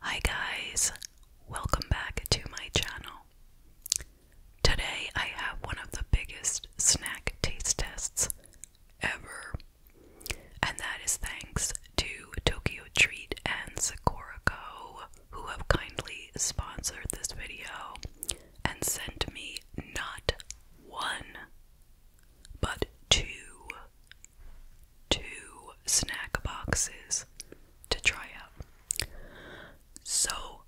Hi guys, welcome back to my channel. Today I have one of the biggest snack taste tests ever, and that is thanks to Tokyo Treat and Sakura Co., who have kindly sponsored this video and sent me not one, but two two snack boxes to try out. So,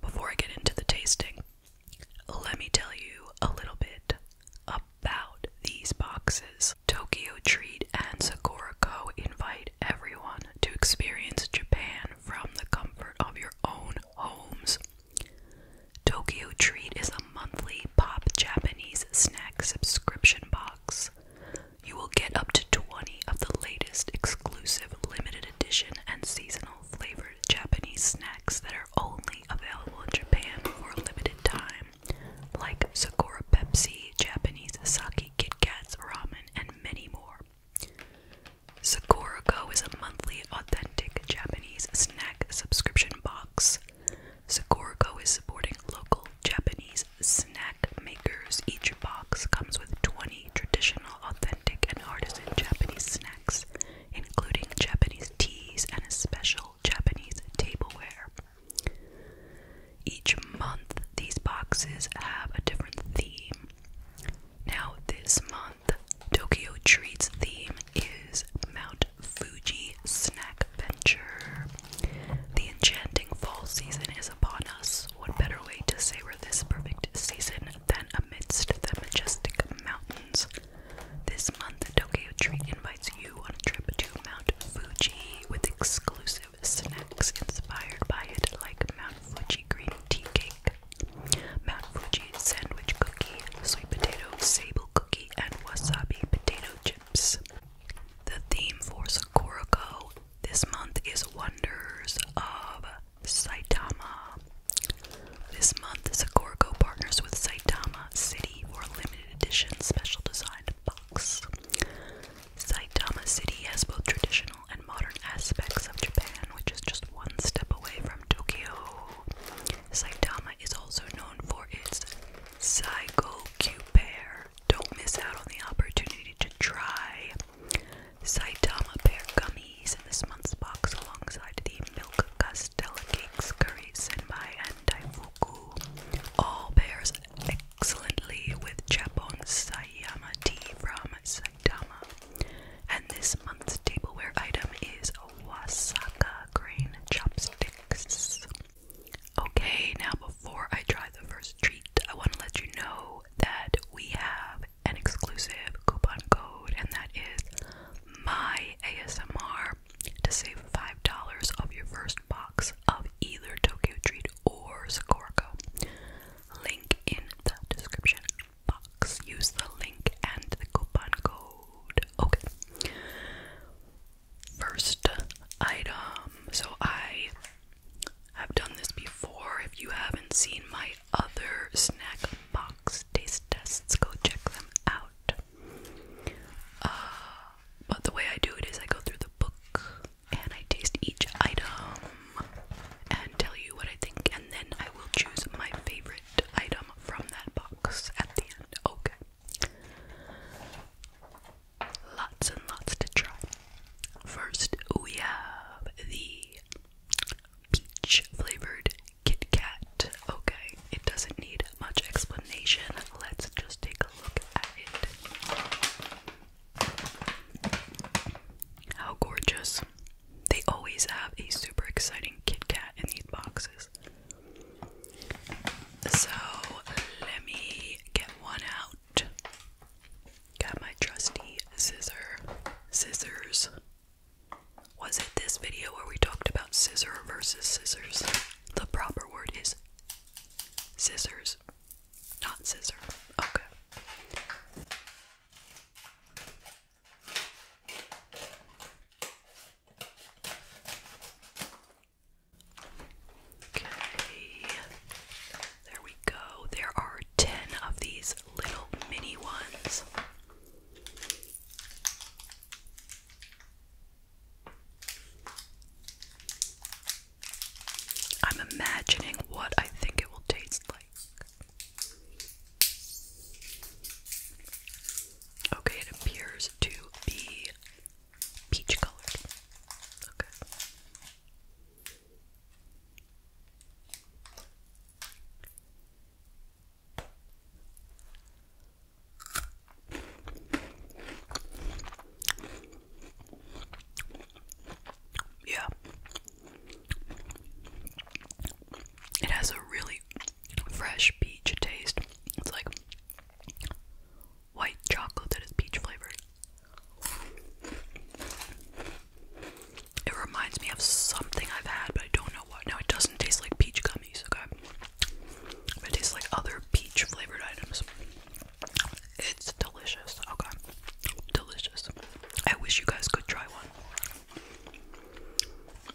before I get into the tasting, let me tell you a little bit about these boxes. Tokyo Treat and Sakura Co. invite everyone to experience Japan from the comfort of your own homes. Tokyo Treat is a monthly pop Japanese snack subscription box you will get up to 20 of the latest exclusive limited edition and seasonal flavored Japanese snacks that are only available in Japan for a limited time, like Sakura Pepsi, Japanese sake, Kit ramen, and many more. Sakura is a monthly authentic Japanese snack subscription box. Sakurako is supporting local Japanese snack makers. Each box comes with 20 traditional, authentic, and artisan Japanese snacks, including Japanese teas and a special Japanese tableware. Each month, these boxes have a different theme. Now, this month, Tokyo Treats theme is Mount Fuji Snack Venture. The enchanting fall season is upon us. What better way to savor this perfect season than amidst the majestic mountains? This month, Tokyo Tree invites you on a trip to Mount Fuji with exclusive snacks inspired by it, like Mount Fuji green tea cake, Mount Fuji sandwich cookie, sweet potato sable cookie, and wasabi potato chip. The theme for Sakurako this month is Wonders of Saitama. This month, Sakurako partners with Saitama City for a limited edition special designed box. Saitama City has both traditional and modern aspects of Japan, which is just one step away from Tokyo. Saitama is also known for its Saigo Q pear, don't miss out on the opportunity to try Saitama pear gummies in this month's box alongside the milk custard cakes, curry senbai, and daifuku. All pairs excellently with Japon Sayama tea from Saitama. And this month's tableware item is Wasaka grain chopsticks. Okay, now before I try the first treat, I want to let you know that we have an exclusive coupon code, and that is my ASMR to save five dollars of your first box of either Tokyo Treat or Sakurako. Link in the description box. Use the link and the coupon code. Okay. First item. So I I've done this before. If you haven't seen my other snack box taste tests, go check them out. Uh, but the way I do it is I go through the book and I taste each item and tell you what I think, and then I will choose my favorite item from that box at the end. Okay lots and lots to try. First, we have the peach flavored Kit Kat. Okay, it doesn't need much explanation. Let's just take a look at it. How gorgeous! They always have a super exciting Kit Kat in these boxes. So let me get one out out. Got my trusty scissor scissors. Was it this video where we talked about scissor versus scissors? The proper word is scissors, not scissor. Okay. Okay, there we go. There are 10 of these little mini ones. I'm imagining what I think it will taste like. Okay, it appears to be peach colored. Okay. Yeah. It has a really fresh peach taste. It's like white chocolate that is peach flavored. It reminds me of something I've had, but I don't know what. Now, it doesn't taste like peach gummies, okay? But it tastes like other peach flavored items. It's delicious, okay? Delicious. I wish you guys could try one.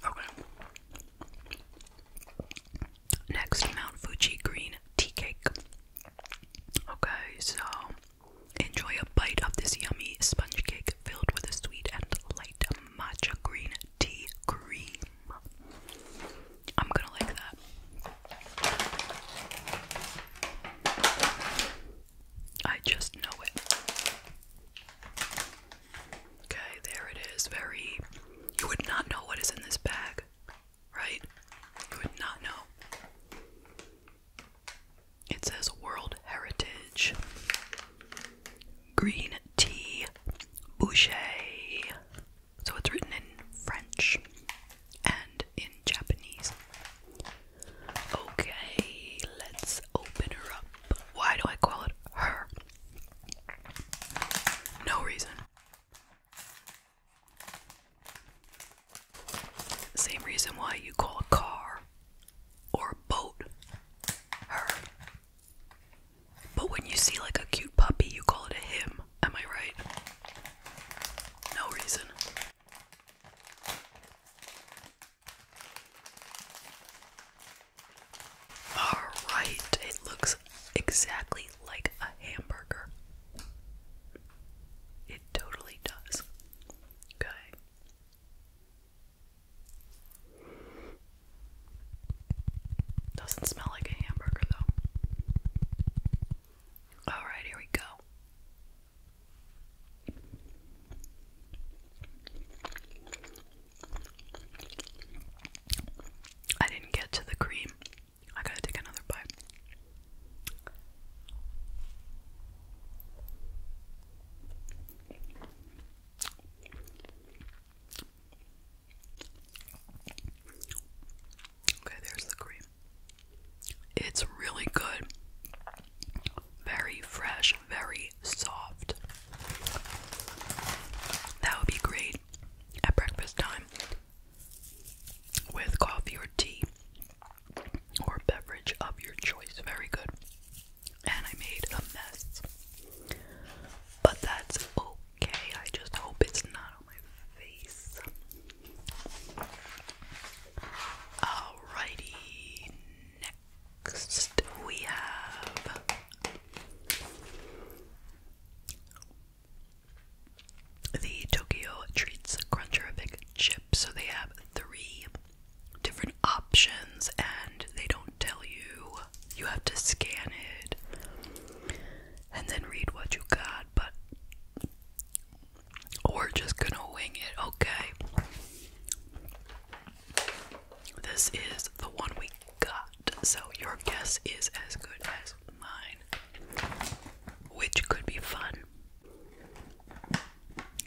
Okay. Next, Mount Fuji Green Tea Cake. Okay, so enjoy a bite of this yummy sponge cake filled with a sweet and light matcha green tea cream. I'm gonna like that. I just know it. Okay, there it is. Very. You would not know what is in this bag right? You would not know. It says World Heritage. Green tea boucher. So it's written in French and in Japanese. Okay, let's open her up. Why do I call it her? No reason. Same reason why you call a car or a boat her. But when you see like a cute puppy, you call it a him. Am I right? No reason. Alright, it looks exactly like a hamburger. It totally does. Okay. Doesn't smell like a hamburger though. Alright, here we go. I didn't get to the cream. I gotta take another bite. Okay, there's the cream. It's really good. Very fresh, very soft. That would be great at breakfast time with coffee or tea or beverage of your choice. Very good. And I made a mess. But that's okay. I just hope it's not on my face. Alrighty. Next we have the Tokyo Treats Cruncherific chip. So they have three different options and they don't tell you. You have to scan it and then read what you got, but we're just gonna wing it, okay? This is the one we got, so your guess is as good as mine, which could be fun.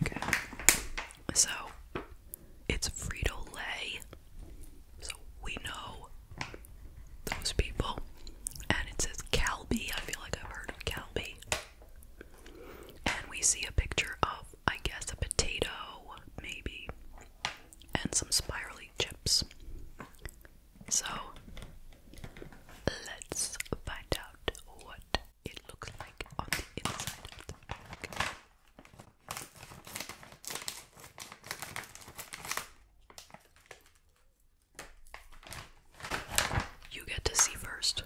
Okay. So it's Frito Lay. So we know those people. And it says Calbee. I feel like I've heard of Calbee. And we see a picture of, I guess, a potato, maybe, and some spirally chips. So let's find out what it looks like on the inside of the bag. You get to see first.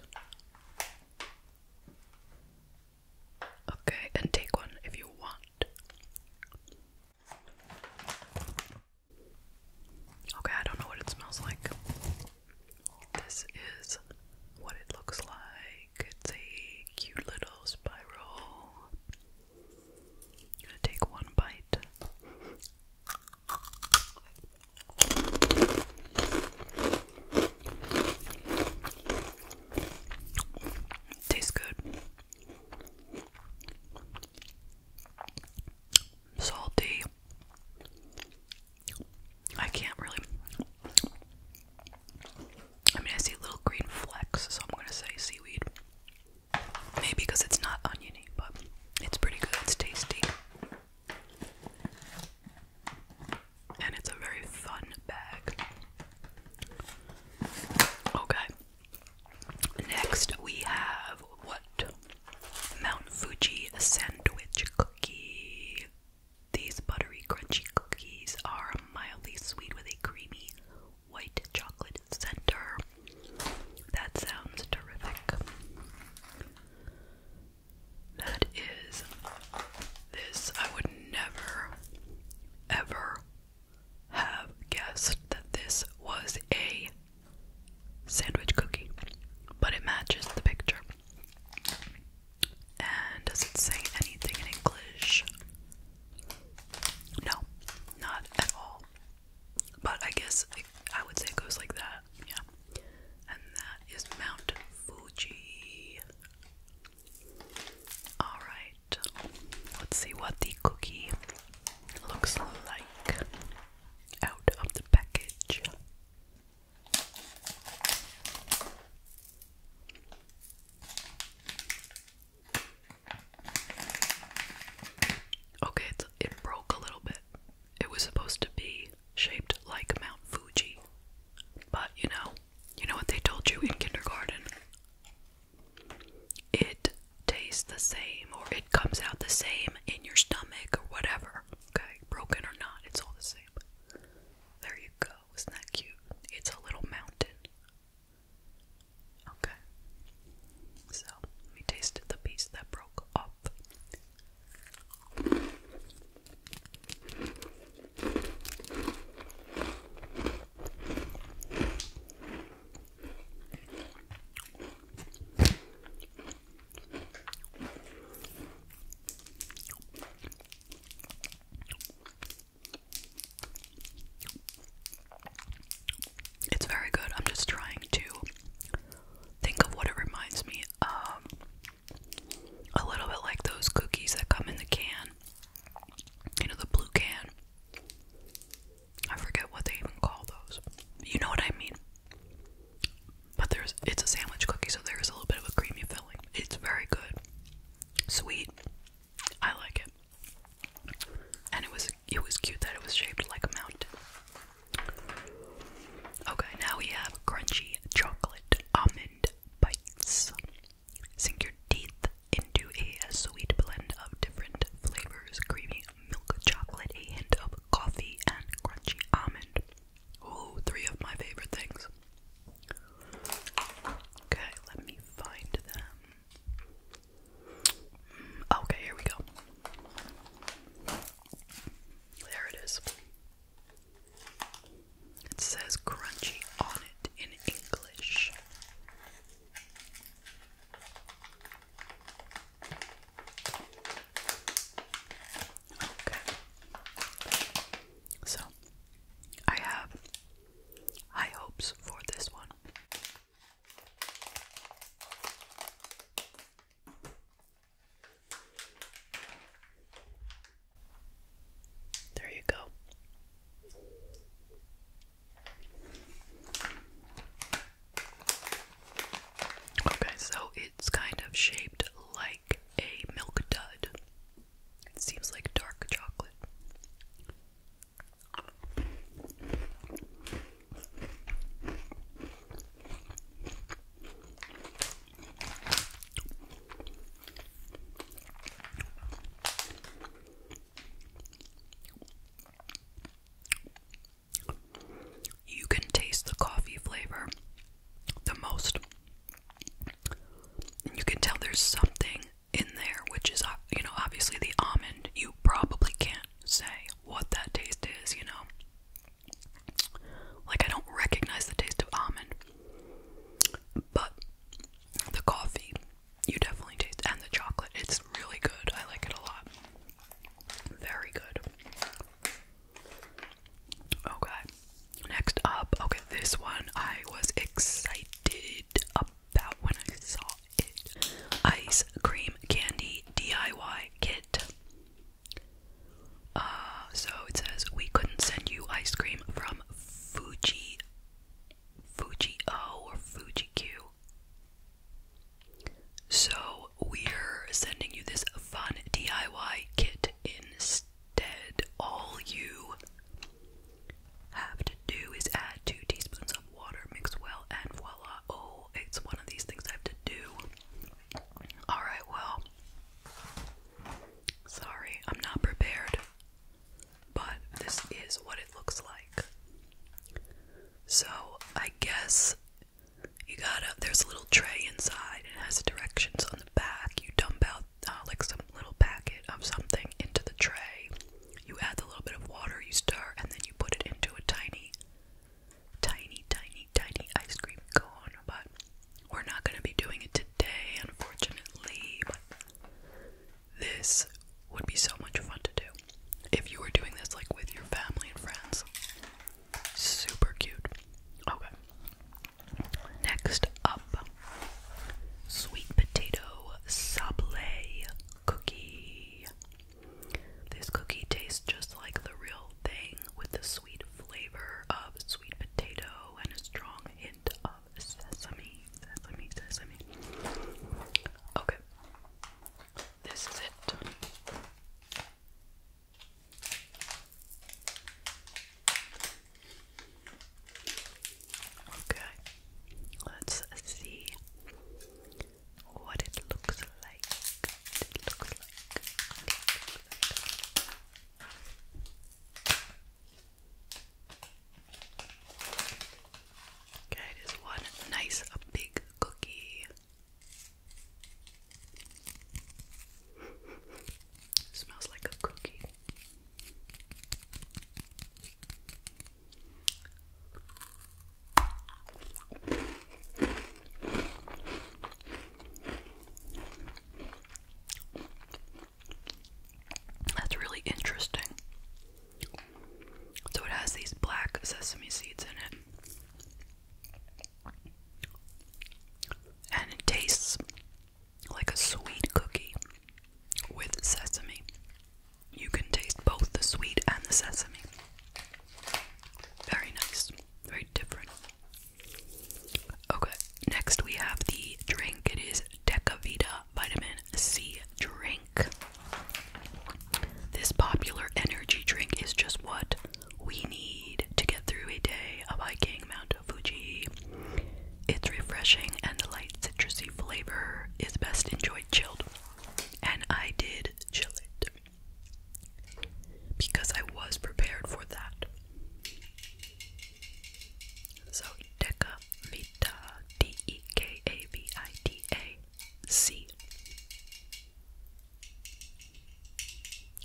Okay, and take one if you want. Okay, I don't know what it smells like. This is what it looks like. It's a cute little spiral. gonna take one bite. Tastes good salty. I can't really. I mean, I see little green flecks, so I'm gonna say seaweed. Maybe because it's not oniony, but it's pretty good, it's tasty. And it's a very fun bag. Okay. Next, we have what? Mount Fuji sandwich cookie. These buttery, crunchy cookies are mildly sweet with a creamy white chocolate center. That sounds terrific. That is this. I would never, ever have guessed that this was a sandwich cookie, but it matches the picture. And does it say anything in English? No, not at all. But I guess I would say it goes like that, yeah. And that is Mount Fuji. Alright, let's see what the cookie looks like out of the package. Okay, it broke a little bit. It was supposed to be shaped like Mount Fuji. But you know, you know what they told you in kindergarten? It tastes the same or it comes out the same in your stomach or whatever. Okay, broken or not, it's all the same. There you go. Isn't that cute? It's a little mountain. Okay. So, we tasted the piece that broke off. It's very good. I'm just trying to think of what it reminds me of. A little bit like those cookies that come in the can. You know, the blue can. I forget what they even call those. You know what I mean? But there's it's a sandwich cookie, so there is a little bit of a creamy filling. It's very good. Sweet. I like it. And it was it was cute that it was shaped like a mountain. Okay, now we have crunchy chocolate almond bites. Sink your teeth into a sweet blend of different flavors, creamy milk chocolate, a hint of coffee, and crunchy almond. Ooh, three of my favorite things. Okay, let me find them. Mm, okay, here we go. There it is. It says crunchy on it in English. Okay. So, I have high hopes for this one. There you go. Okay, so it's kind of shaped like a milk dud. It seems like dark chocolate. You can taste the coffee flavor the most. You can tell there's something in there, which is, uh, you know, obviously the almond. You probably can't say what that taste is, you know. Like, I don't recognize the taste of almond, but the coffee, you definitely taste, and the chocolate. It's really good. I like it a lot. Very good. Okay, oh, next up. Okay, this one I was excited about when I saw it. Ice cream candy DIY kit. Uh, so it says we couldn't send you ice cream from Fuji, Fuji O or Fuji Q. So we're sending you this fun DIY kit instead. All you have to do is add two teaspoons of water, mix well, and voila. Oh, it's one of these things I have to do. Alright, well, sorry, I'm not prepared, but this is what it looks like. So, I guess you got up. There's a little tray inside and it has directions on the back. You dump out uh, like some little packet of something into the tray. You add a little bit of water, you stir, and then you put it into a tiny, tiny, tiny, tiny ice cream cone. But we're not going to be doing it today, unfortunately. this would be so much fun to do if you were doing this like with your family and friends. Super cute. Okay. Next up, sweet potato sablé cookie. This cookie tastes just like the real thing with the sweet flavor of sweet potato and a strong hint of sesame. Sesame, sesame. Okay. This is it. Okay, let's see what it looks like. it looks like. Okay, it is one nice big cookie. Smells like a cookie. That's really interesting. So it has these black sesame seeds in it and it tastes like a sweet cookie with sesame. You can taste both the sweet and the sesame. Very nice, very different. Okay, next we have the drink. It is Decavita Vitamin C Drink. This popular energy drink is just what? we need to get through a day of hiking Mount Fuji. Its refreshing and the light citrusy flavor is best enjoyed chilled. And I did chill it because I was prepared for that. So Deca Vita D E K A V I T A C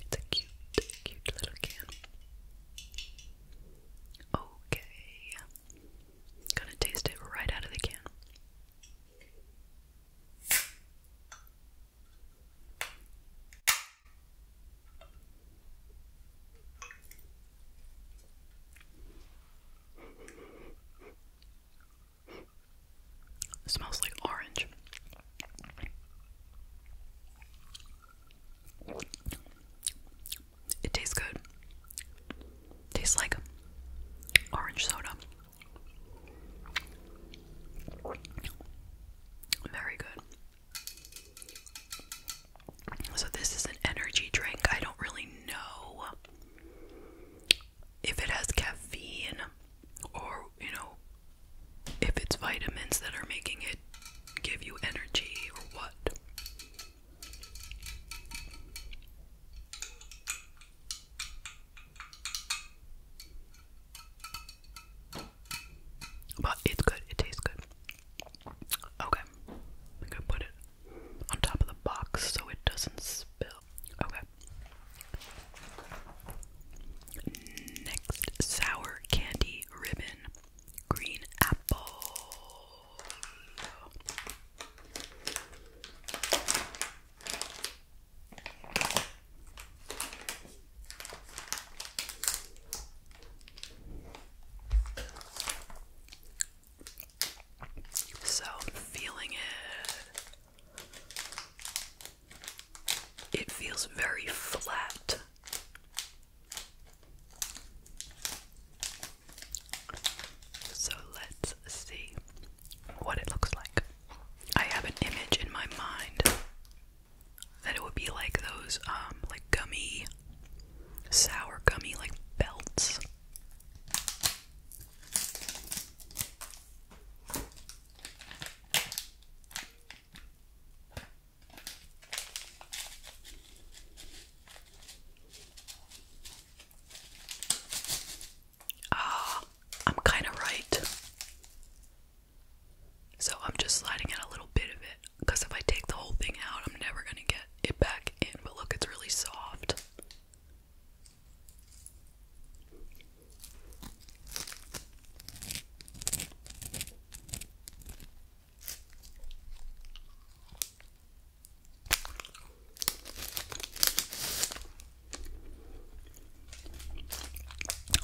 it's a cute, cute little can. Okay. Gonna taste it right out of the can. It smells like orange. It tastes good. Tastes like orange soda. Very good. So, this is an energy drink. I don't really know if it has caffeine or, you know, if it's vitamins that are making it give you energy or what. But it's good, it tastes good. Okay, I'm gonna put it on top of the box so it doesn't spill. Okay, Next, sour candy ribbon, green apple. So, feeling it it feels very flat. So let's see what it looks like. I have an image in my mind that it would be like those um like gummy sour gummy like belts. Ah, I'm kind of right. So I'm just sliding in a little bit of it because if I take the whole thing out, I'm never going to get it back in. But look, it's really soft.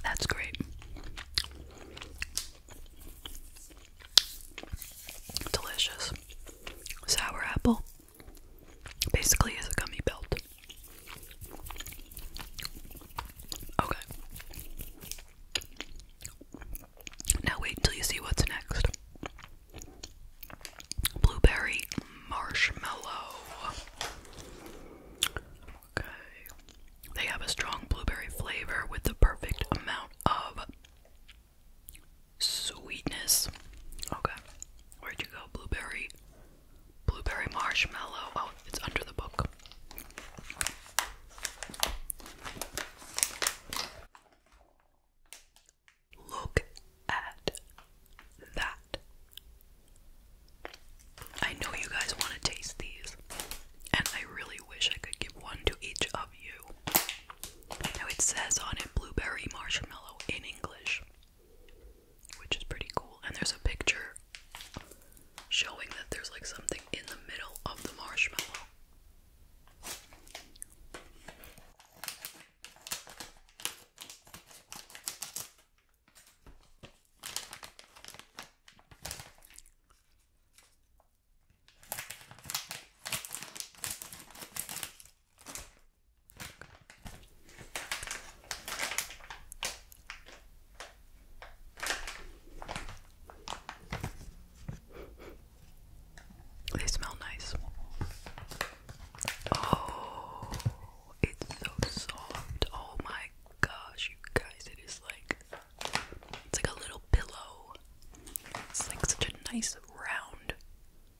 That's great. Delicious. Sour apple basically is a gummy belt. Okay. Now wait until you see what's next. Blueberry marshmallow. Okay. They have a strong blueberry flavor with the perfect amount of sweetness. Okay. Where'd you go? Blueberry. Blueberry marshmallow. Oh, it's under the book. Look at that. I know you guys want to taste these, and I really wish I could give one to each of you. Now it says on it blueberry marshmallow in English, which is pretty cool, and there's a picture showing that there's like something in the middle of the marshmallow. They smell nice. Oh, it's so soft. Oh my gosh, you guys, it is like it's like a little pillow. It's like such a nice round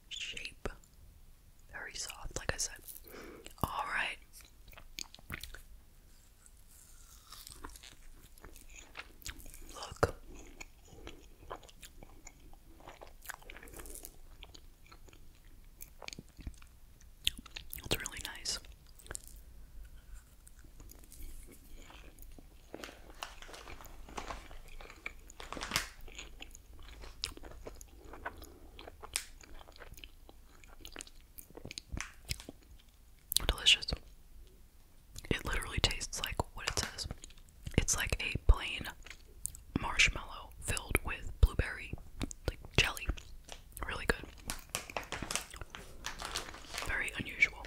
shape. Very soft, like I said. Alright. Look. It's really nice. Delicious. It literally tastes like what it says. It's like a plain marshmallow filled with blueberry like jelly. Really good. Very unusual.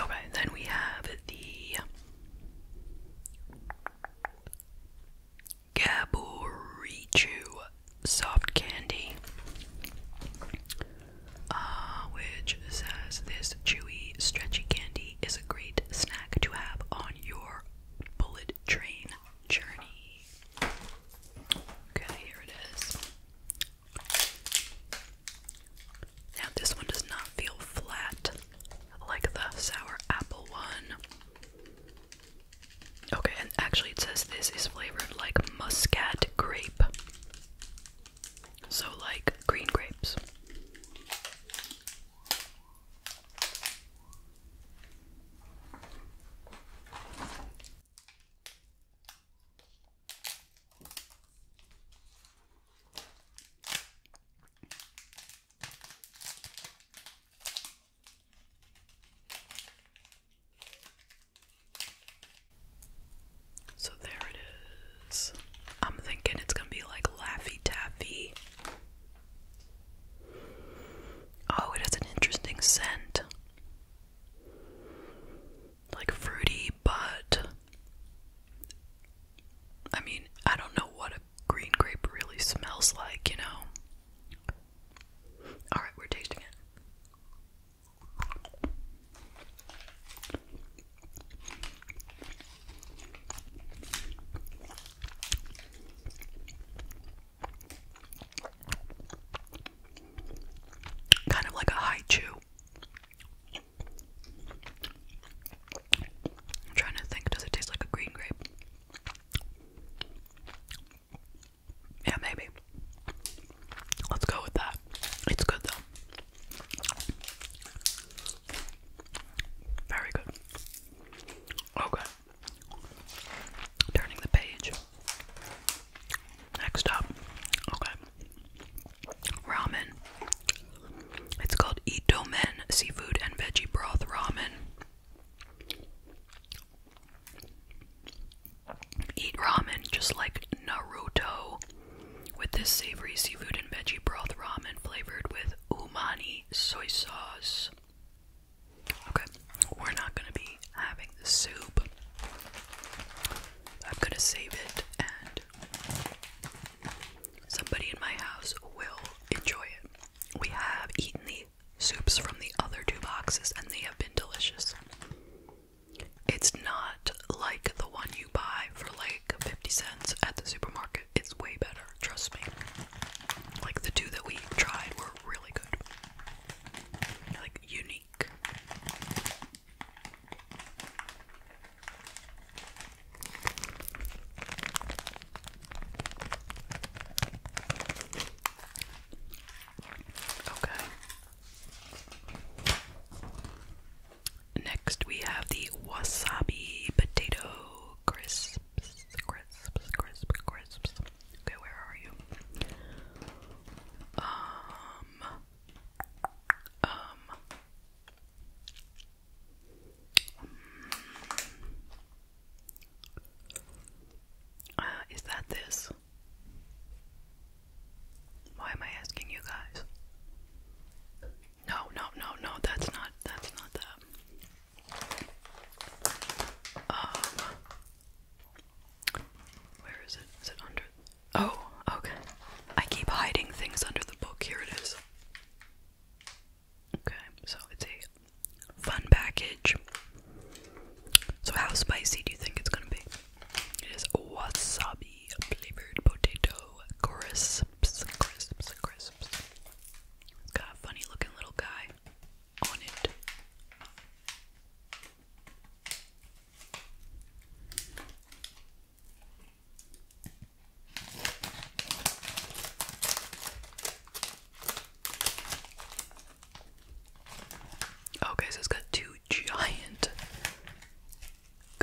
Okay, then we have the Gaburichu soft candy, uh, which says this chewy, stretchy candy is a great snack to have on your bullet train journey. Okay, here it is. Now, this one does not feel flat like the sour apple one. Okay, and actually it says this is flavored like muscat grape. So like green grapes. So there it is. I'm thinking it's gonna be like Laffy Taffy. Oh, it has an interesting scent. Like fruity, but I mean, I don't know what a green grape really smells like, you know? Alright, we're tasting it. Kind of like a high chew. I'm trying to think, does it taste like a green grape? Yeah, maybe. Let's go with that. It's good though. Very good. Okay. Turning the page. Next up. Okay. Ramen. It's called Itomen Seafood and Veggie Broth Ramen. Eat ramen just like Naruto with this savory seafood and veggie broth ramen flavored with umami soy sauce. Okay, we're not gonna be having the soup. I'm gonna save it and somebody in my house will enjoy it. We have eaten these soups from the other two boxes, and they have been delicious. It's not like the one you buy for like 50 cents at the supermarket. It's way better, trust me. Like the two that we tried were really good. Like unique. Okay. Next, we have the wasabi potato crisps. Crisps, crisps, crisps. Okay, where are you? Um. Um. Uh, is that this? Why am I asking you guys? No, no, no, no, that's not that's not that. Um Where is it? Is it under Oh, okay. I keep hiding things under the book. Here it is. Okay, so it's a fun package. So how spicy do you think it's gonna be? It is wasabi flavored potato crisps, crisps, a funny looking little guy on it. Okay, oh, so it's got two giant.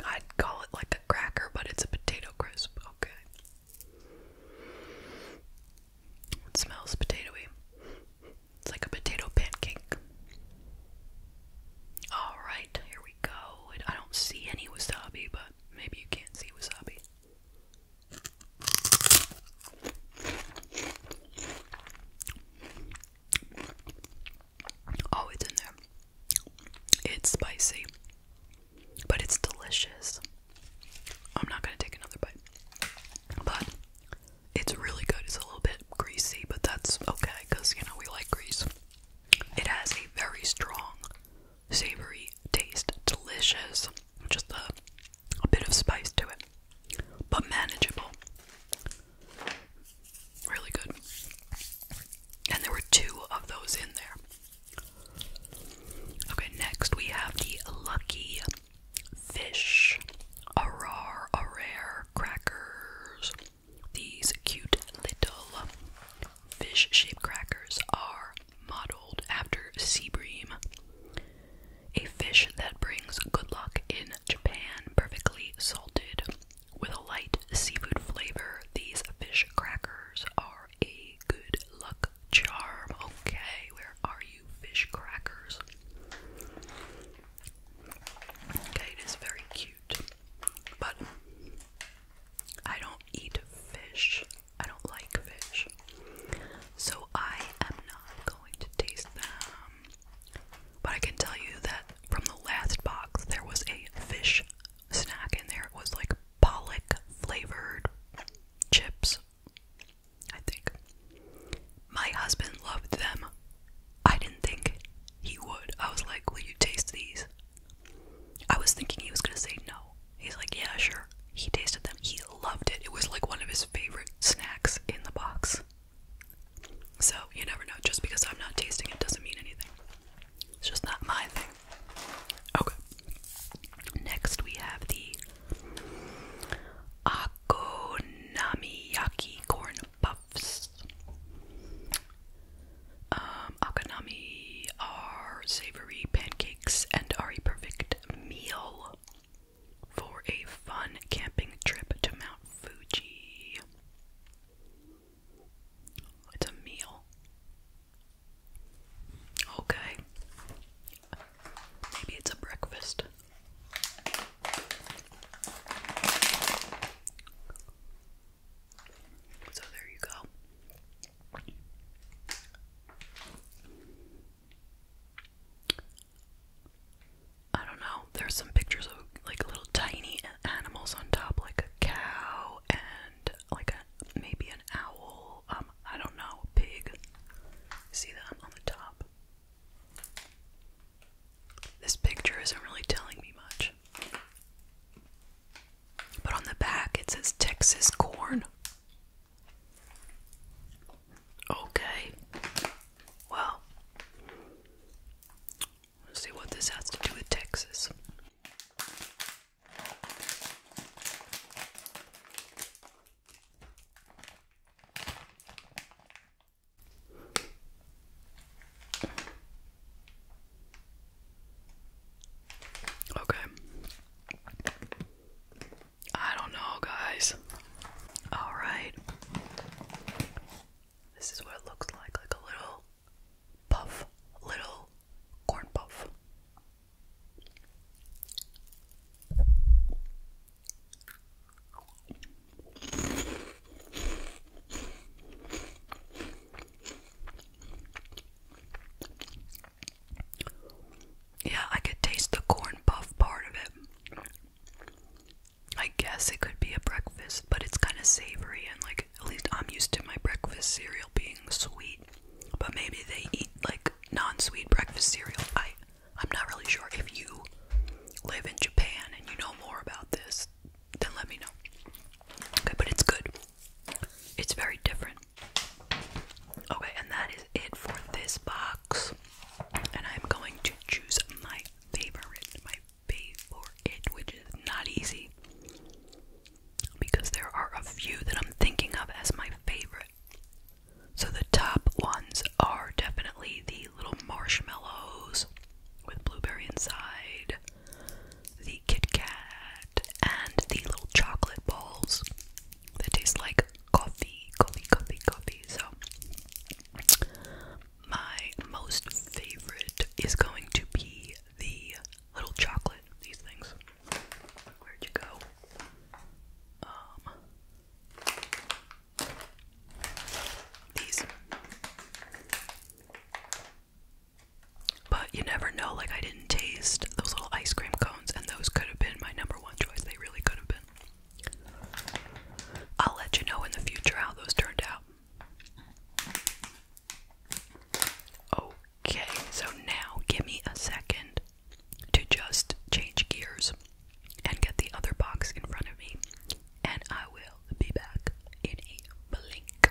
I'd call it like a cracker, but it's a potato crisp. Okay. smells potatoy. It's like a potato pancake. Alright, here we go. I don't see any wasabi, but maybe you can't see wasabi. Oh, it's in there. It's spicy, but it's delicious. I'm not gonna take another bite, but it's really good. It's a little bit greasy, but that's okay because you know we like grease. It has a very strong, savory taste, delicious, just a, a bit of spice to it but manageable. Really good. And there were two of those in there. Okay, next we have the Lucky Fish a rare Crackers. These cute little fish shaped crackers are modeled after sea bream a fish that brings good luck in Japan, perfectly salted. With a light seafood flavor, these fish crackers are a good luck charm. Okay, where are you, fish crackers? Okay, it is very cute. But I don't eat fish. I don't like fish. So I am not going to taste them but I can tell you that from the last box, there was a fish snack in there. It was like pollock flavored chips, I think. My husband loved them. I didn't think he would. I was like, Will you taste these? I was thinking he was gonna say no. He's like, Yeah, sure. He tasted them. He loved it. It was like one of his favorite snacks in the box. So, you never know. Just because I'm not tasting it doesn't mean anything. It's just not my thing. Okay. Next, we have the Akonamiyaki corn puffs. Um, Akonami are savory pancakes and are a perfect meal for a fun camping trip to Mount Fuji. It's a meal. Okay. Maybe it's a breakfast. So there you go. I don't know. There's some pictures of like little tiny animals on top, like a cow and like a maybe an owl. Um, I don't know, pig. See them on the top. This picture isn't really telling me much. But on the back it says Texas corn. Okay. Well, let's see what this has to do with Texas. Okay. I don't know, guys. Alright. This is what it looks like like a little puff, little corn puff. Yeah, I could taste the corn puff part of it. I guess it could be a breakfast, but it's kind of savory and like at least I'm used to my breakfast cereal being sweet. But maybe they eat like non-sweet breakfast cereal. I I'm not really sure. If you live in Japan and you know more about this, then let me know. Okay, but it's good. It's very different. Okay, and that is it for this box. And I'm going to choose my favorite, my favorite, which is not easy because there are a few that I'm thinking of as my favorite. So the top ones are definitely the little marshmallows with blueberry inside, the Kit Kat, and the little chocolate balls that taste like coffee, coffee, coffee, coffee. So my most favorite is going to be the little chocolate. These things. Where'd you go? Um, these. But you never know. Like I didn't taste those little ice cream cones, and those could have been my number one choice. They really could have been. I'll let you know in the future how those turned out. Okay, so now give me a second to just change gears and get the other box in front of me, and I will be back in a blink.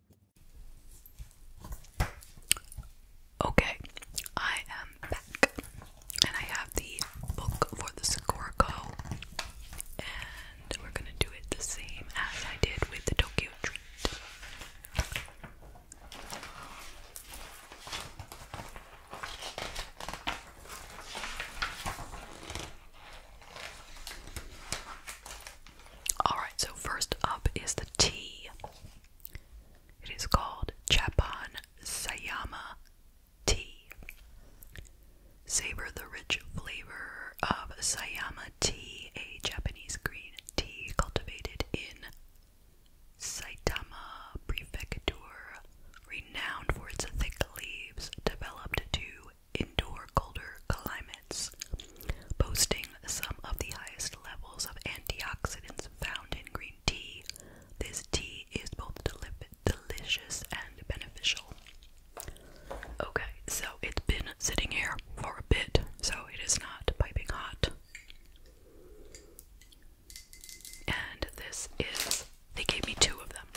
Okay, I am back, and I have the book for the Scorco, and we're gonna do it the same as I did with the Tokyo Treat. Alright, so first up is the T. It is called Chapan Sayama tea. Savor the rich flavor of Sayama tea, a Japanese green tea cultivated in Sayama Prefecture, renowned for its thick leaves, developed to endure colder climates plants, some of the highest levels of antioxidants found in green tea. This tea is both delicious and beneficial. Okay, so it's been sitting here for a bit, so it is not piping hot. And this is, they gave me two of them.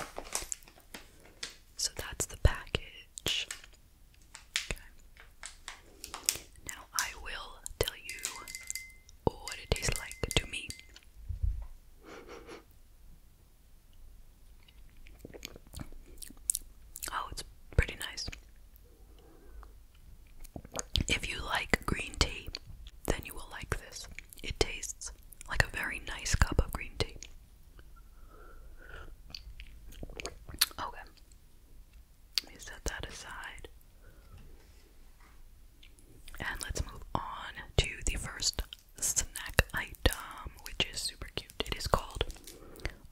So that's the package. Now I will tell you what it tastes like to me. Oh, it's pretty nice. If you like green tea, then you will like this. It tastes like a very nice cup of green tea. Okay. Let me set that aside. And let's move on to the first snack item, which is super cute. It is called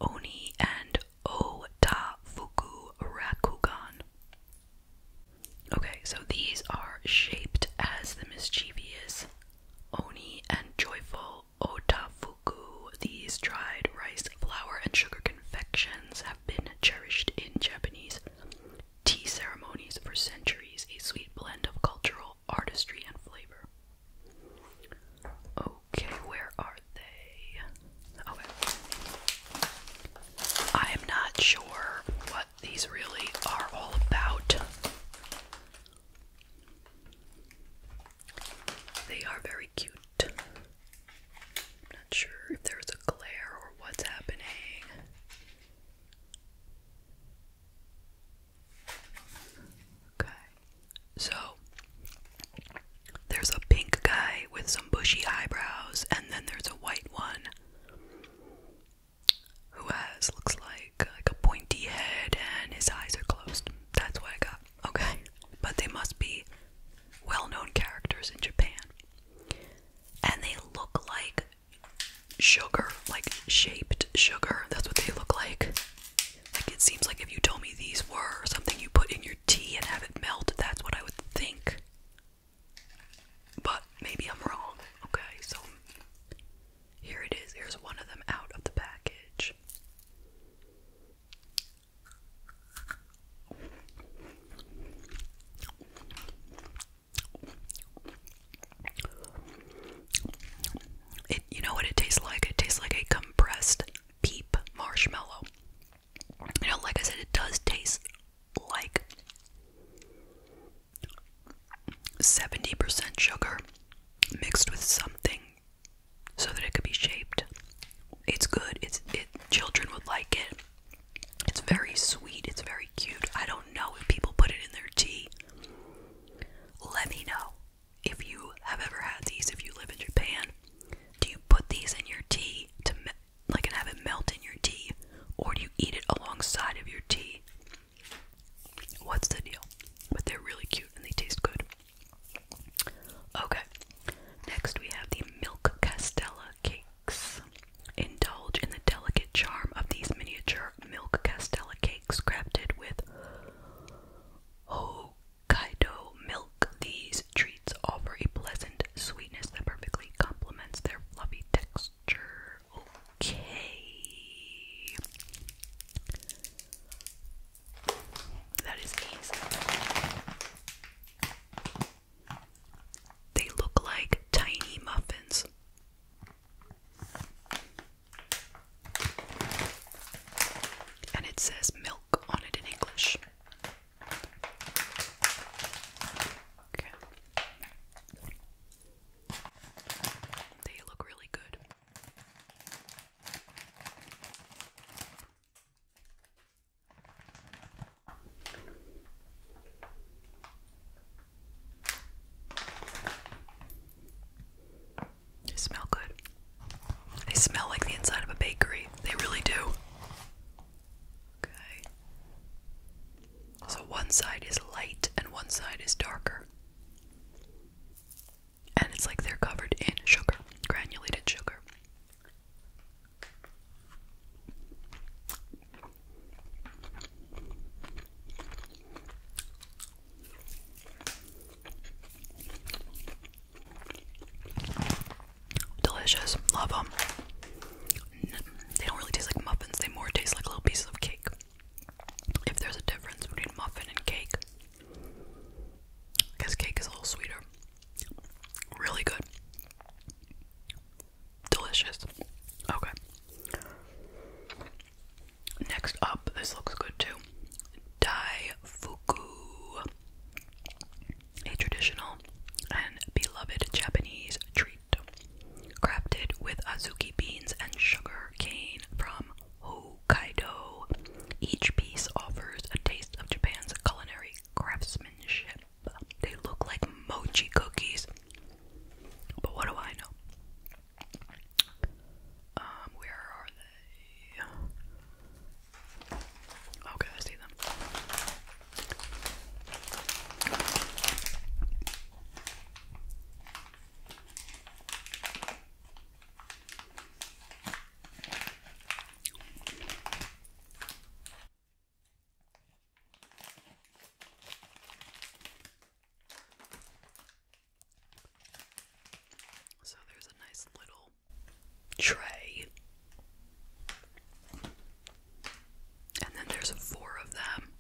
Oni and Otafuku Okay, so these are shaped as the mischievous Oni and joyful Otafu these dried rice, flour, and sugar confections have been cherished in Japanese tea ceremonies for centuries, a sweet blend of cultural artistry and flavor. Okay, where are they? I am not sure what these really are all about. They are very cute. I'm not sure if there's a glare or what's happening. Okay. So there's a pink guy with some bushy eyebrows, and then there's a white one who has looks like like a pointy head and his eyes are closed. That's what I got okay? But they must be well known characters in Japan. And they look like sugar, like shaped sugar. That's what they look like. Like it seems like if you told me these were something you put in your tea and have it melt, that's what I would think. But maybe I'm wrong. Okay, so here it is. Here's one of them out of the package. It, you know what it tastes like? It tastes like a compressed peep marshmallow. You know, like I said, it does taste like 70% sugar mixed with something so that it could be shaped. It's good. It's it. Children would like it. It's very sweet. It's very cute. I don't know if people put it in their tea. Let me know if you have ever had these. If you live in Japan, do you put these in your tea to like and have it melt in your tea, or do you eat it alongside of your tea? What's the deal? But they're really cute and they taste good. Okay, next we have the Milk Castella cakes. Indulge in the delicate charm of these miniature Milk Castella cakes crafted with Hokkaido milk. These treats offer a pleasant sweetness that perfectly complements their fluffy texture. Okay. That is easy. They look like tiny muffins. And it says milk on it in English. They look really good. They smell good. They smell like the inside of a bakery. They really do. Okay. So one side is light and one side is darker. And it's like they're covered in sugar, granulated sugar. Delicious, love them. They don't really taste like muffins, they more taste like little pieces of cake. If there's a difference between muffin and cake, because cake is a little sweeter. Really good. Delicious. Okay. Next up, this looks good too. Daifuku. A traditional and beloved Japanese treat. Crafted with azuki beans and sugar cane from Hokkaido. Each piece offers a taste of Japan's culinary craftsmanship. They look like mochi cookies. But what do I know? Um, where are they? Okay, I see them. So there's a nice little tray. And then there's four of them.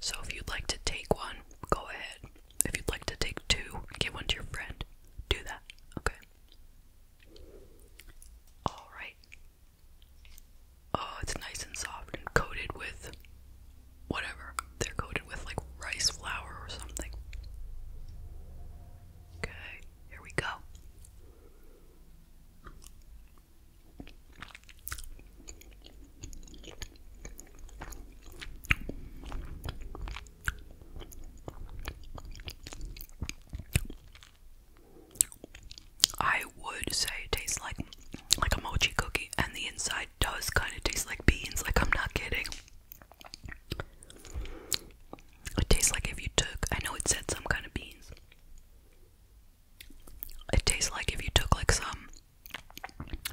So if you'd like to take one, go ahead. If you'd like to take two, give one to your friend. Do that. Okay. Alright. Oh, it's nice and soft and coated with whatever. They're coated with like rice flour or something. Okay, here we go. I would say it tastes like like a mochi cookie, and the inside does kind of taste like beans. Like I'm not kidding. It tastes like if you took. I know it said some kind of beans. It tastes like if you took like some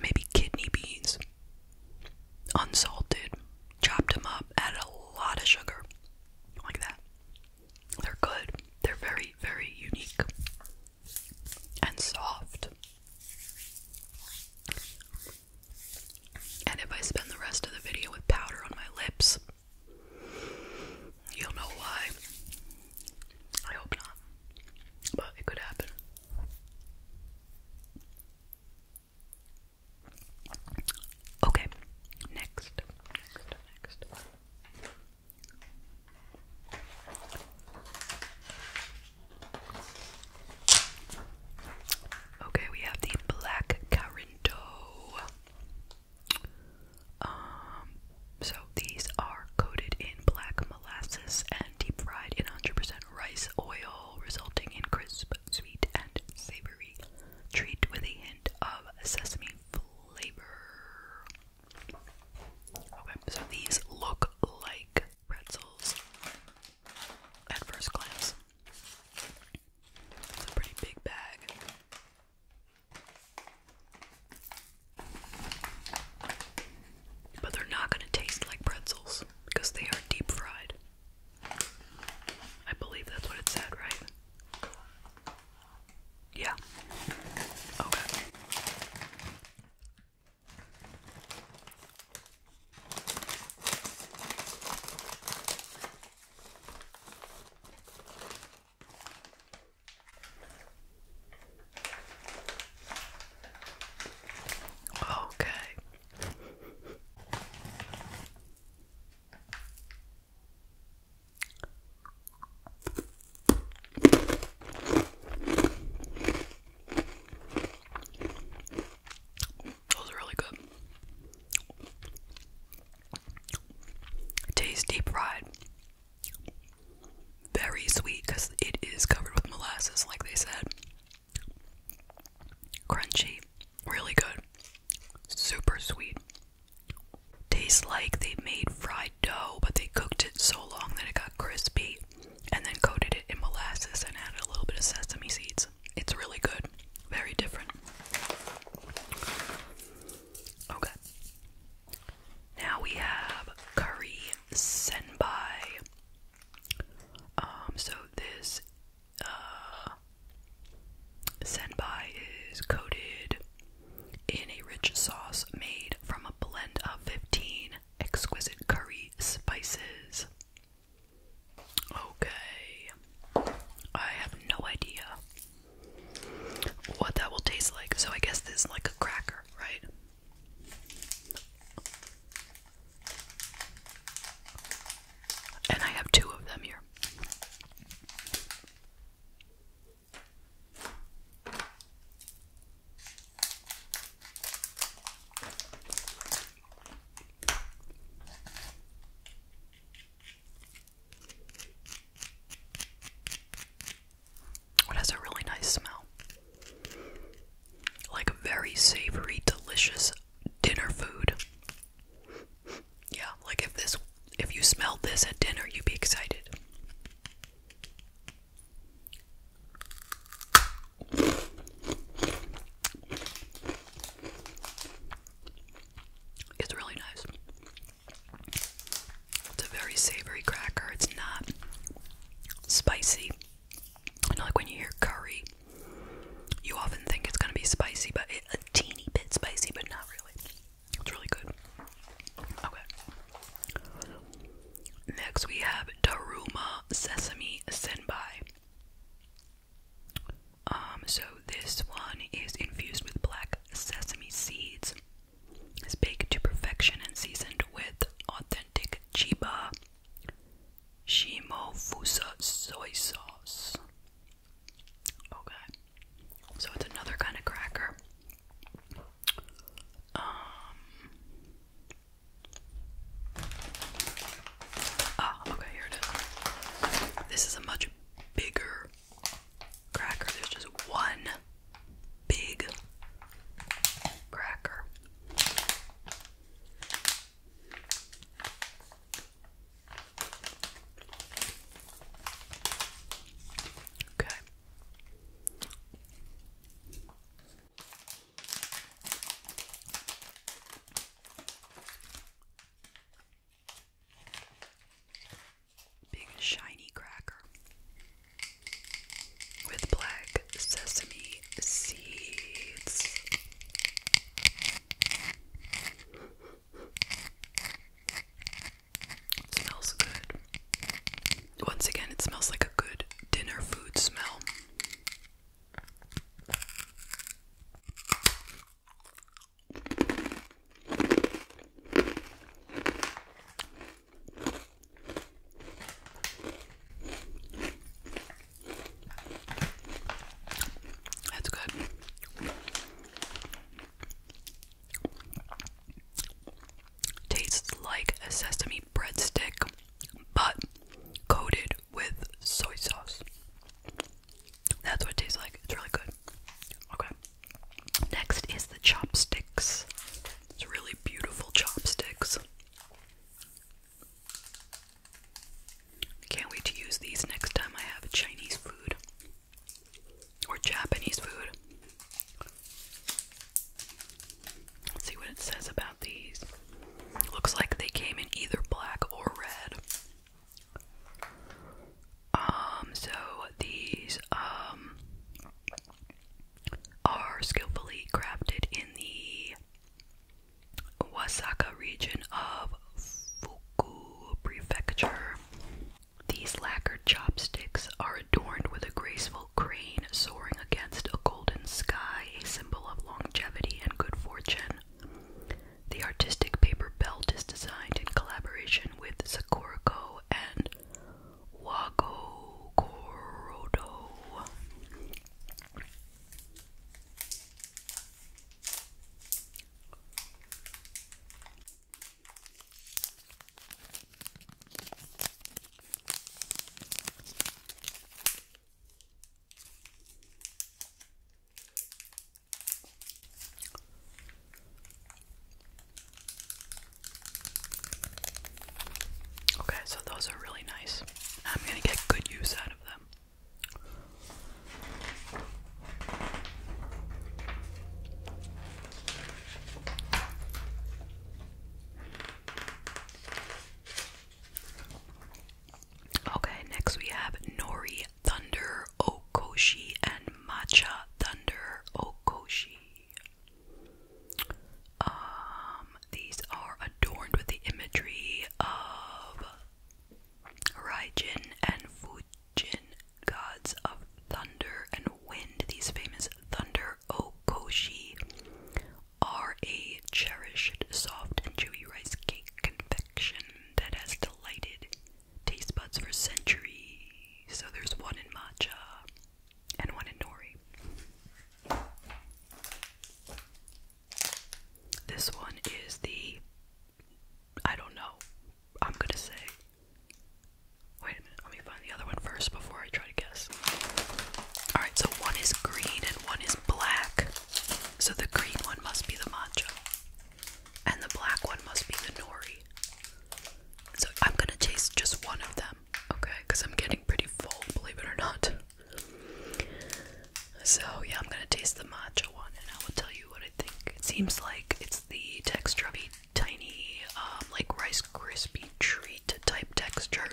maybe kidney beans, unsalted, chopped them up, added a lot of sugar, like that. They're good. They're very, very unique and soft. And if I spend the rest of the video with powder on my lips, you'll know why. I hope not, but it could happen. Okay, next. Okay, we have the black Carinto. Um, so these are coated in black molasses and deep fried in 100% rice oil, resulting in crisp, sweet, and savory Treat with a hint of sesame flavor. Okay, so these look like pretzels at first glance. It's a pretty big bag. But they're not going to taste like pretzels because they are deep fried. I believe that's what it said, right? Yeah. Okay. Okay. Those are really good. Tasty pride. Very sweet because it is covered with molasses, like they said. Crunchy, really good, super sweet. Tastes like they made fried dough, but they cooked it so long that it got crispy and then coated it in molasses and added a little bit of sesame seeds. It's really good, very different. Okay. Now we have curry senbai. Um, so this uh, Senbai is coated in a rich sauce made from a blend of 15 exquisite curry spices. Okay. I have no idea what that will taste like. So I guess this is like a cracker, right? And I have two of them here. It has a really nice smell. Like very savory, delicious dinner food. Yeah, like if this if you smelled this at dinner, you'd be excited. It's really nice. It's a very savory cracker. It's not spicy. I know, like when you hear curry, you often think it's gonna be spicy, but a teeny bit spicy, but not really. It's really good. Okay. Next we have Taruma Sesame Senbei. Um, so this one is infused with black sesame seeds. Is baked to perfection and seasoned with authentic Chiba Shimo Fusa soy sauce. Okay. Oh, so it's another kind of cracker. Um, ah, okay, here it is. This is a much bigger cracker. There's just one big cracker. Okay. Big shiny cracker with black sesame seeds smells good. Once again, it smells like a good dinner food smell. That's good. Tastes like a sesame breadstick, but coated with soy sauce. That's what it tastes like. It's really good. Okay. Next is the chopsticks. It's really beautiful chopsticks. Can't wait to use these next time I have Chinese food or Japanese food. see what it says about these. Looks like they came in either black or red. Um, so these um are skillfully crafted in the Wasaka region of Fuku Prefecture. These lacquered chopsticks are adorned with a graceful crane soaring against a golden sky, a symbol of longevity and good fortune. The artistic paper belt is designed in collaboration with Sakurako and Wago Okay, so those are really nice. I'm going to get good use out of them. Okay, next we have Nori Thunder Okoshi and Matcha Thunder Okoshi. Um, these are adorned with the imagery of Raijin and Fuji jinn gods of thunder and wind. These famous thunder okoshi are a cherished, soft, and chewy rice cake confection that has delighted taste buds for centuries. So there's one in matcha and one in nori. This one is the I don't know. I'm gonna say. Wait a minute, let me find the other one first before I try to guess. Alright, so one is green and one is black. So the green one must be the matcha. And the black one must be the nori. So I'm gonna taste just one of them, okay? Because I'm getting pretty full, believe it or not. So yeah, I'm gonna taste the matcha one and I will tell you what I think. It seems like it's the texture of tiny, um, like Rice Krispie treat type texture.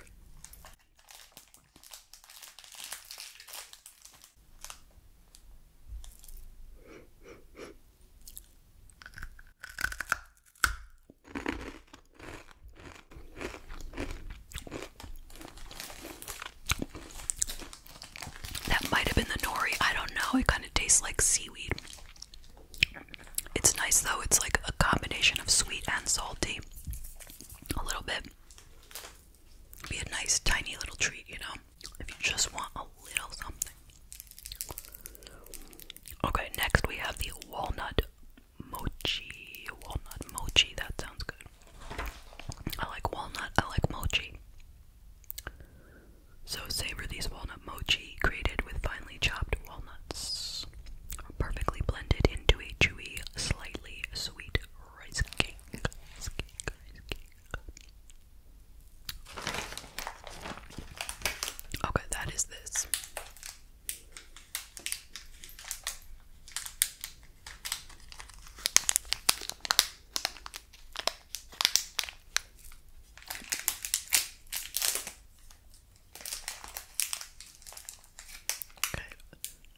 That might have been the nori, I don't know. It kind of tastes like seaweed. It's nice though, it's like a combination of sweet and salty. A little bit. Be a nice tiny little treat, you know, if you just want a little something. Okay, next we have the walnut mochi. Walnut mochi, that sounds good. I like walnut, I like mochi. So savor these walnut mochi created with finely chopped walnuts, perfectly blended into a chewy, slightly sweet rice cake. Okay, that is this.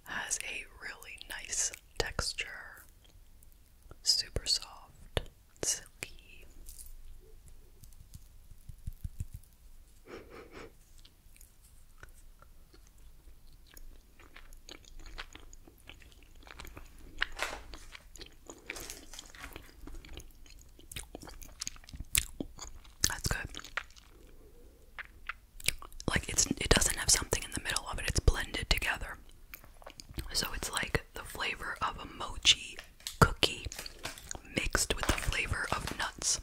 Has a really nice texture. Super soft, silky. That's good. Like it's it doesn't have something in the middle of it. It's blended together. So it's like the flavor of a mochi cookie mixed with the flavor of nuts.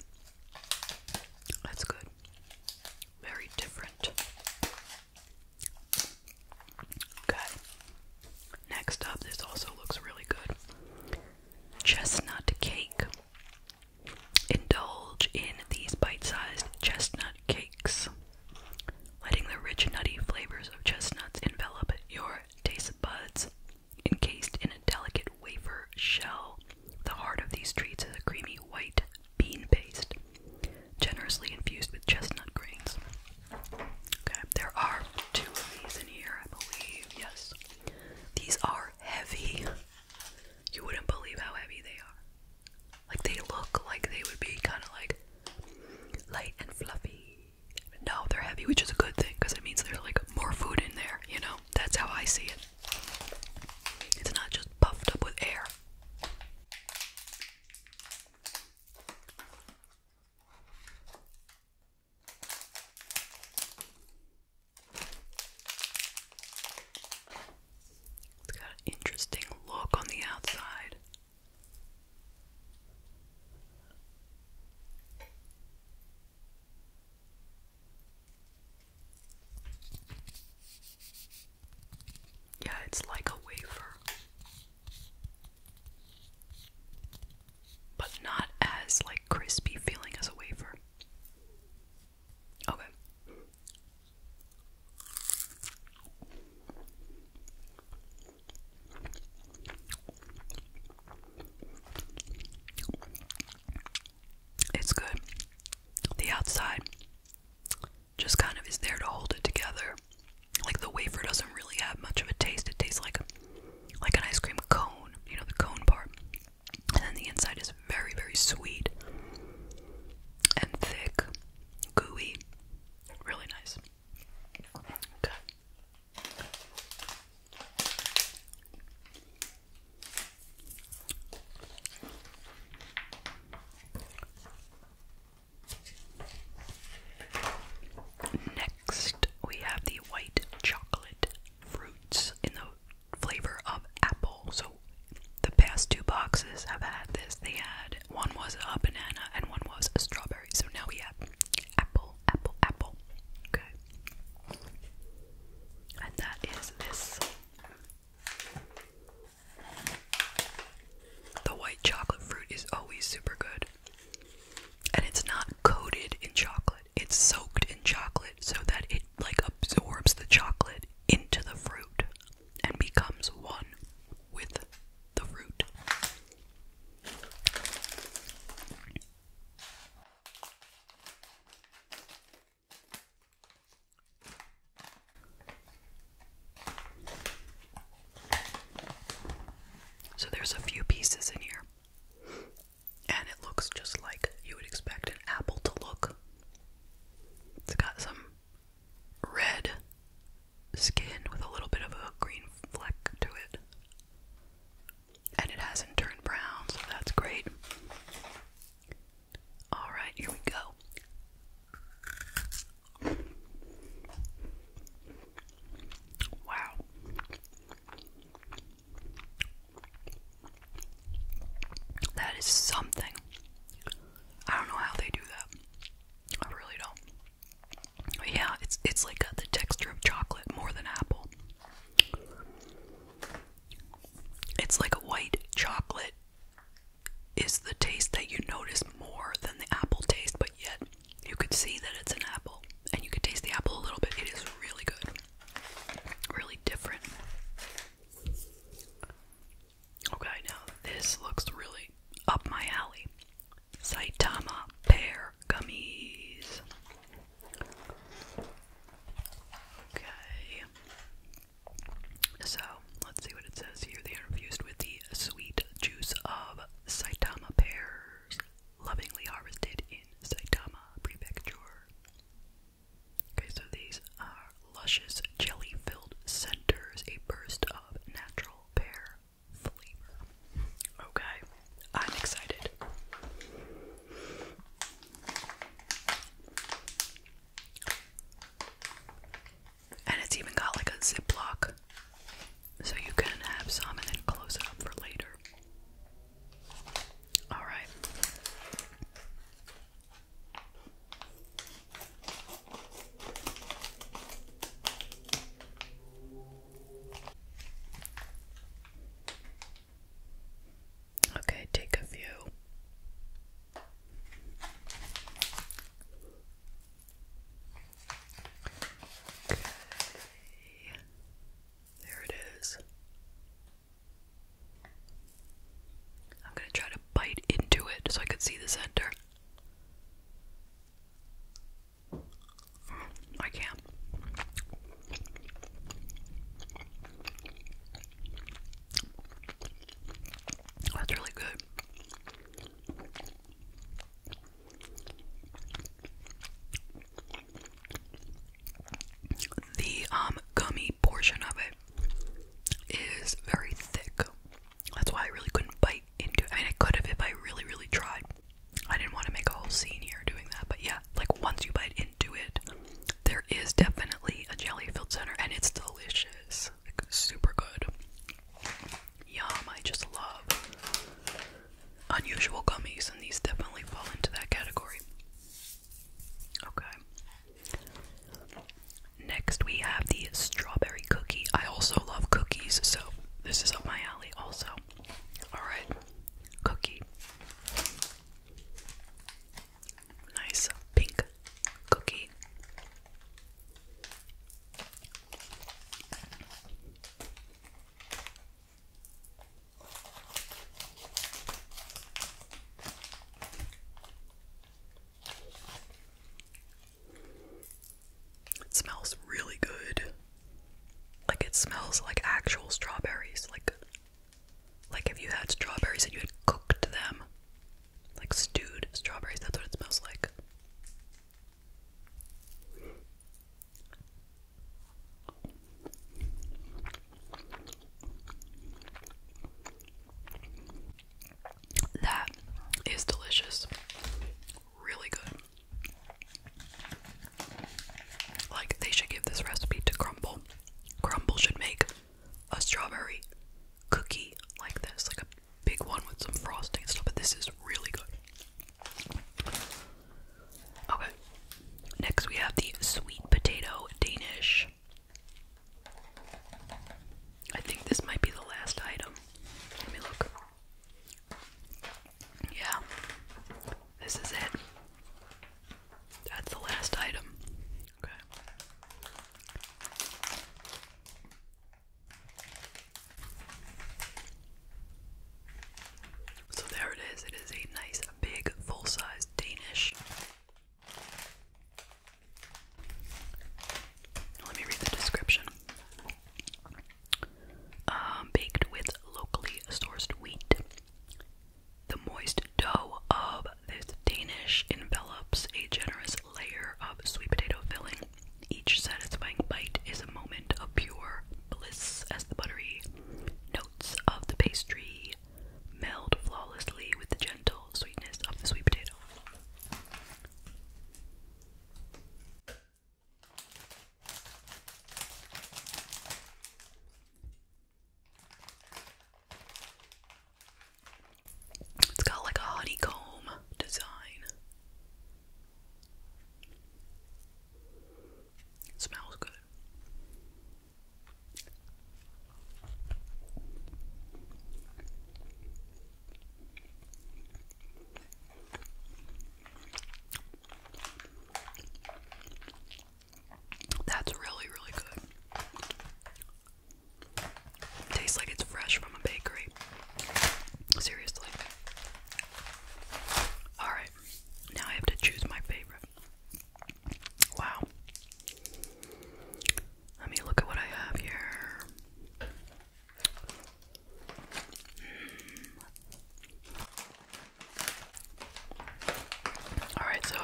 That's good. Very different. Okay. Next up, this also looks really good. Chestnut cake. Indulge in these bite-sized chestnut cakes, letting the rich nutty flavors of chestnuts envelop your taste buds. Encased in a delicate wafer shell, the heart of these treats is a creamy white bean paste, generously infused with chestnut grains. Okay, there are two of these in here, I believe. Yes. These are heavy. You wouldn't believe how heavy they are. Like they look like they would be kind of like light and fluffy. No, they're heavy, which is a good thing because it means there's like more food in there, you know? That's how I see it. It's not just puffed up with air. It's got an interesting look on the outside. Yeah, it's like a wafer. But not as like crispy feeling as a wafer. Okay. It's good. The outside just kind of is there to hold it together. Like the wafer doesn't really have much of a taste. It tastes like like an ice cream cone, you know, the cone part. And then the inside is very, very sweet and thick, gooey, really nice. Okay. Next, we have the white chocolate fruits in the flavor of apple. So, the past two boxes have had this. They had one was a banana and one was a strawberry. So now we have apple, apple, apple. Okay. And that is this. The white chocolate fruit is always super good. And it's not coated in chocolate, it's soaked in chocolate so that it like absorbs the chocolate into the fruit and becomes one with the fruit. So there's a few pieces in here. And it looks just like you would expect an apple to look. It's got some red skin with a little bit of a green fleck to it. And it hasn't turned brown, so that's great. Alright, here we go. Wow. That is something. I don't know how they do that. I really don't. yeah, it's it's like uh, the texture of chocolate more than apple. It's like a white chocolate is the taste that you notice more than the apple taste, but yet you can see that it's an apple, and you can taste the apple a little bit. It is really good, really different. Okay, now this looks really up my alley. Saitama pear gummies. Okay. So, let's see what it says here. They are infused with the sweet juice of Saitama pears lovingly harvested in Saitama Prefecture. Okay, so these are luscious jelly filled centers, a burst of natural pear flavor. Okay, I'm excited. And it's even got like a ziplock so you can have some and then close it up for later. Alright. Okay, take a few. There it is. I'm going to try to bite into it so I can see the center. I can't. That's really good. The um, gummy portion of it is very thick. That's why I really couldn't bite into I mean I could have if I really really tried. I didn't want to make a whole scene here doing that, but yeah, like once you bite into it, there is definitely a jelly filled center and it's delicious. Like super good. Yum, I just love unusual gummies, and these definitely fall into that category. Okay. Next, we have the strawberry cookie. I also love cookies, so this is up my alley, also. Alright, cookie. Nice pink cookie. It smells really good. Like it smells like actual strawberries. Like like if you had strawberries and you had cooked them. Like stewed strawberries, that's what it smells like. That is delicious. Really good. Like, they should give this recipe to Crumble. Crumble should make a strawberry cookie like this, like a big one with some frosting and stuff, but this is really good. Okay. Next we have the sweet potato Danish. I think this might be the last item. Let me look. Yeah. This is it. That's the last item. Okay. So there it is. It is a nice, big, full size Danish. Let me read the description. Um, baked with locally sourced wheat. The moist dough of this Danish envelops a generous layer of sweet potato filling. Each satisfying bite is a moment of pure bliss as the buttery Notes of the pastry meld flawlessly with the gentle sweetness of the sweet potato. It's got like a honeycomb design smells good. That's really, really good. Tastes like it's fresh from a bakery. Seriously. Alright now I have to choose my favorite. Wow. Let me look at what I have here. Hmm. Alright, so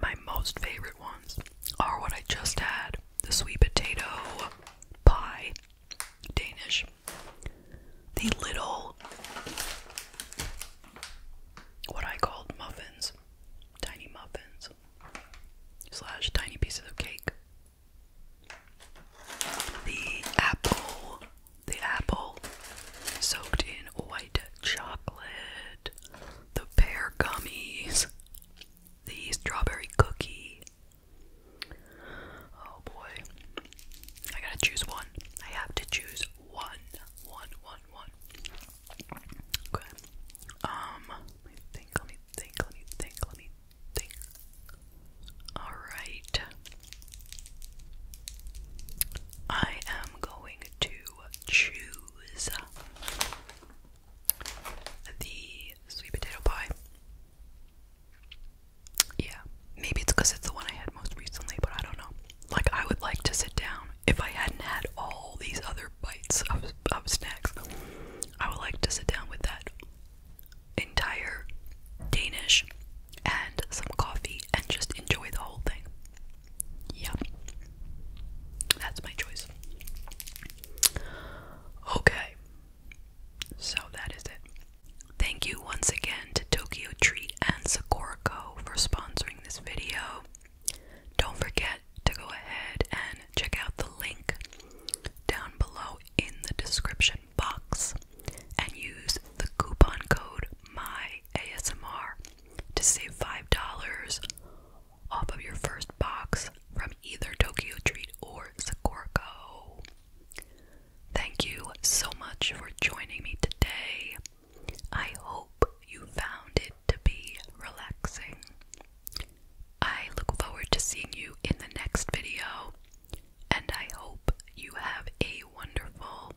my most favorite ones are what I just had the sweet potato pie Danish. The little, what I called muffins, tiny muffins, slash tiny pieces of cake. The apple, the apple soaked in white chocolate, the pear gummies, the strawberry cookie, Oh boy. I gotta choose one. I have to choose one, one, one, one. One, one, one. Um, let me think, let me think, let me think, let me think. Alright. I am going to choose the sweet potato pie. Yeah, maybe it's because it's the one I had most recently, but I don't know. Like, I would like to sit down if I hadn't had all these other bites of, of snacks. I would like to sit down with that entire Danish and some coffee and just enjoy the whole thing. Yeah, that's my choice. Okay, so that is it. Thank you once again to Tokyo Treat and Sakurako for sponsoring this video. Don't forget to go ahead and check out the link down below in the description box and use the coupon code MYASMR to save $5 off of your first box from either Tokyo Treat or Sakurako. Thank you so much for joining me today. I hope you found it to be relaxing. I look forward to seeing you in the next video, and I hope you have a wonderful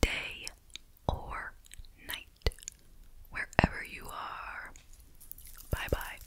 day or night wherever you are. Bye bye.